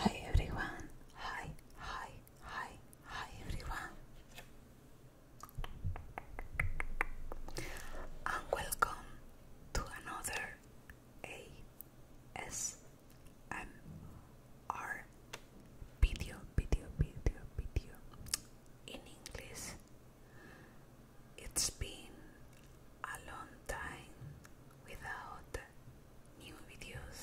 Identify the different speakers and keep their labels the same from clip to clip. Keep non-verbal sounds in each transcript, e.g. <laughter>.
Speaker 1: Hi everyone. Hi, hi, hi, hi everyone. And welcome to another ASMR video, video, video, video in English. It's been a long time without new videos.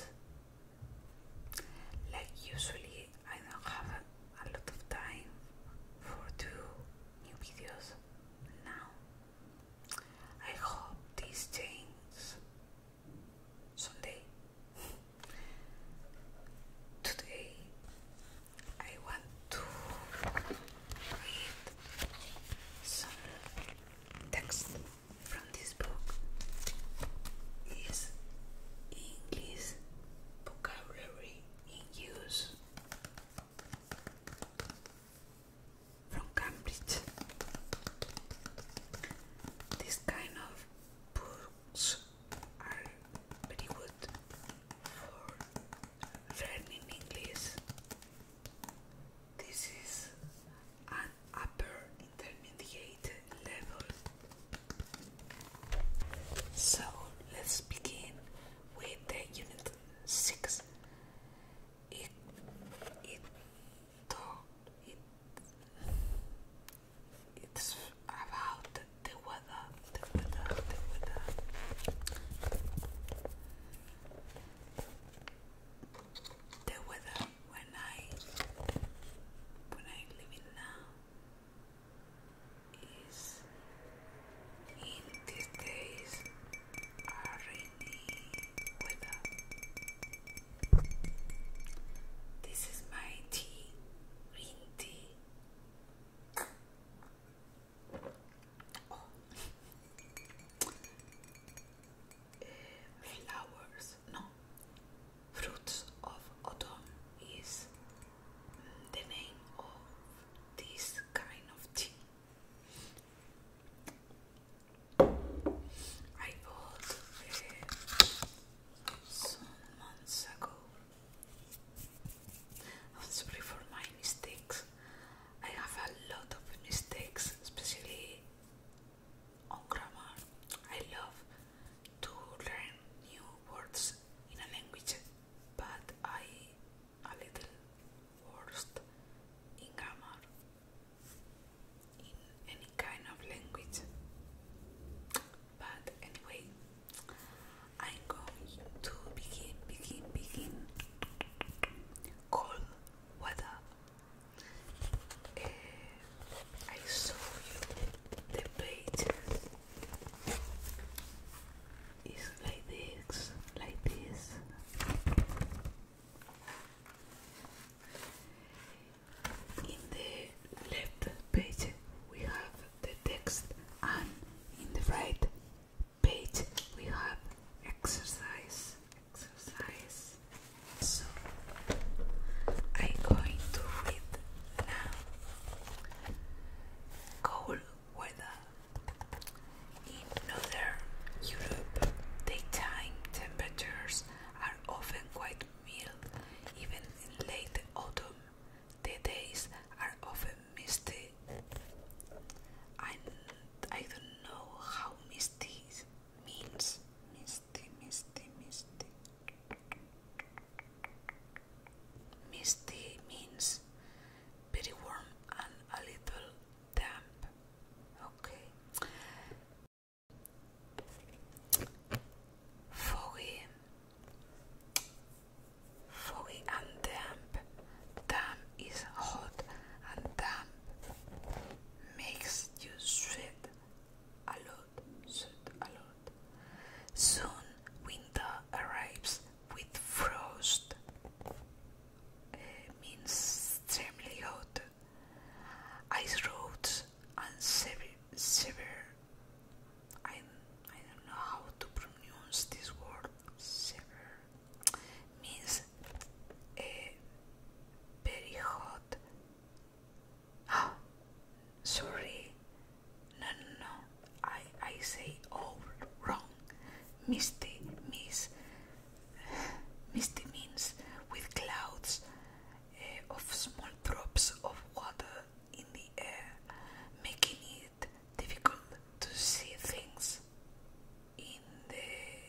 Speaker 1: Like usually, I don't have a lot of time for two new videos now. I hope this changes someday. <laughs> Today I want to read some text from this book. Is English vocabulary in use from Cambridge? This kind of books are very good for red English. This is an upper intermediate level. So let's begin with the unit 6. It, it, it, it's about the weather, the weather, the weather. when I when I live in now is in these days rainy weather. This is my tea, green tea flowers, no, fruits of autumn is the name of this kind of tea. I bought uh, some months ago I'm sorry for my mistakes. I have a lot of mistakes, especially on grammar. I love to learn new words in a language, but I a little worst in grammar in any kind of language. But anyway, I'm going to begin, begin, begin cold weather. Eh, I saw you the page like this, like this. In the left page we have the text and in the right page we have exercise exercise so I'm going to read now cold weather in northern Europe daytime temperatures are often quite even in late autumn. The days are often misty. I, I don't know how misty means. Misty, misty, misty. Misty means very warm and a little damp. Okay. Foggy, foggy and damp. Damp is hot and damp makes you sweat a lot, sweat a lot. Soon winter arrives with frost. Eh, means extremely hot ice roads and severe. sever I, I don't know how to pronounce this word, sever, means a eh, very hot, oh, sorry, no, no, I, I say all wrong, misty, miss, misty means with clouds eh, of small drops of water in the air, making it difficult to see things in the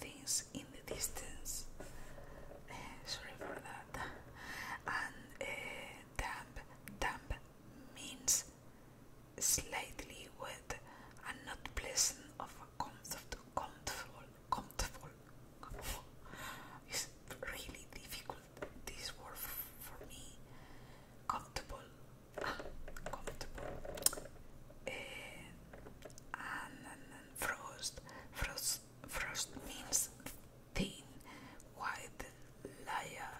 Speaker 1: things in the distance. Eh, sorry for that. And uh, damp, damp means slightly wet and not pleasant of comfortable, comfortable, comfortable. It's really difficult this word for me. Comfortable, comfortable. Eh, and frost, frost, frost means thin, white layer,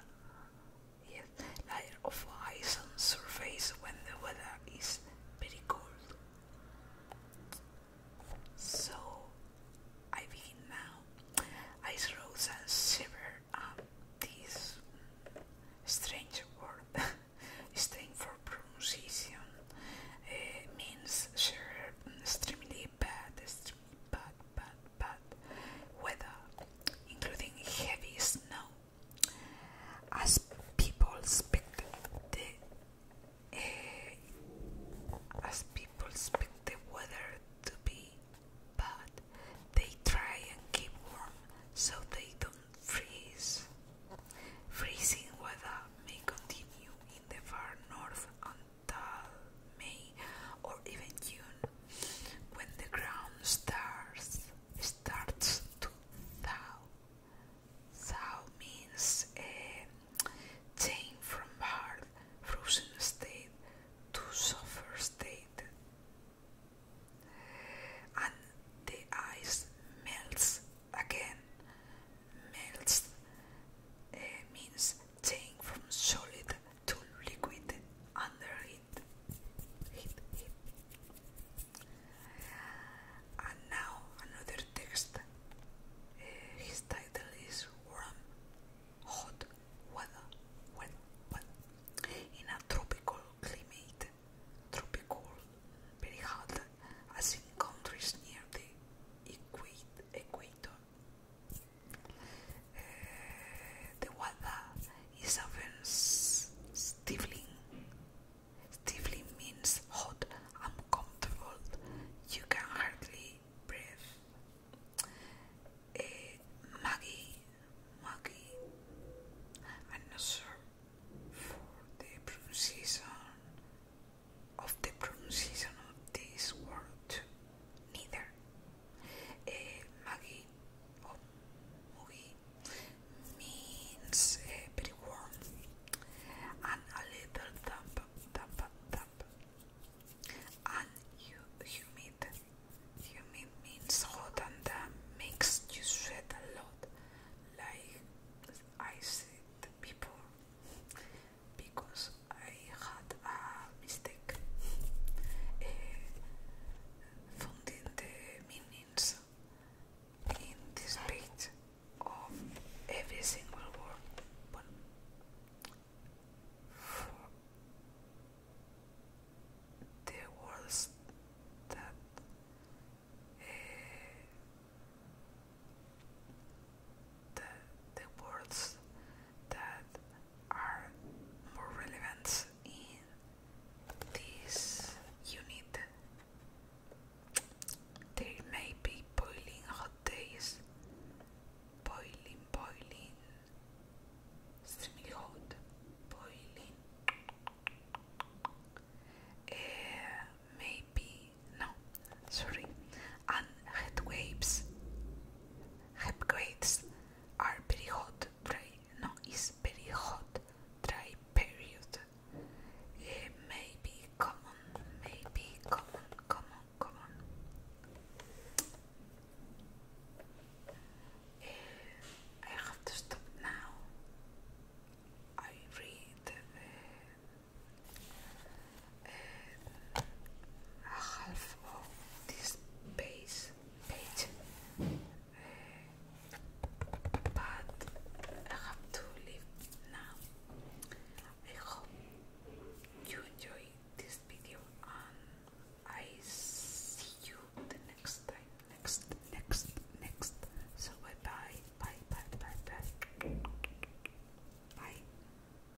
Speaker 1: yes, layer of ice on surface when the weather is pretty cold. So I begin now. I rose and shivered um, this strange word, <laughs> strange for pronunciation, uh, means shiver, mm, extremely bad, extremely bad, bad, bad weather, including heavy snow as people speak the eh, as people speak the weather to be bad, they try and keep warm so they don't freeze. Freezing weather may continue in the far north until May or even June when the ground starts starts to thaw. Thaw means uh, eh, change from hard, frozen state to softer state. And the ice melts again. Melts uh, means change from solid to liquid under and now another text. Uh, his title is Warm, Hot Weather, When, When, in a tropical climate, tropical, very hot, as in countries near the equator. The weather is often stifling. Stifling means hot, uncomfortable. You can hardly breathe. Uh, Maggie, Maggie, I'm for the pronunciation of the pronunciation of this word. Neither eh, means very eh, warm and a little damp, damp, damp, and humid. Humid means hot and damp makes you sweat a lot, like I said before, because I had a mistake. Eh, finding the meanings in this page of every single word. But the words that eh, the, the words that are more relevant in this unit. There may be boiling hot days, boiling, boiling, extremely hot, boiling. Uh, maybe no, sorry, and head waves, head waves are very hot, dry, no, it's very hot, dry period. Uh, maybe common, maybe common, common, common. Uh, I have to stop now. I read uh, half of this page, page. but I have to leave now. I hope you enjoy this video and I see you the next time. Next, next, next. So bye, bye bye, bye bye. Bye.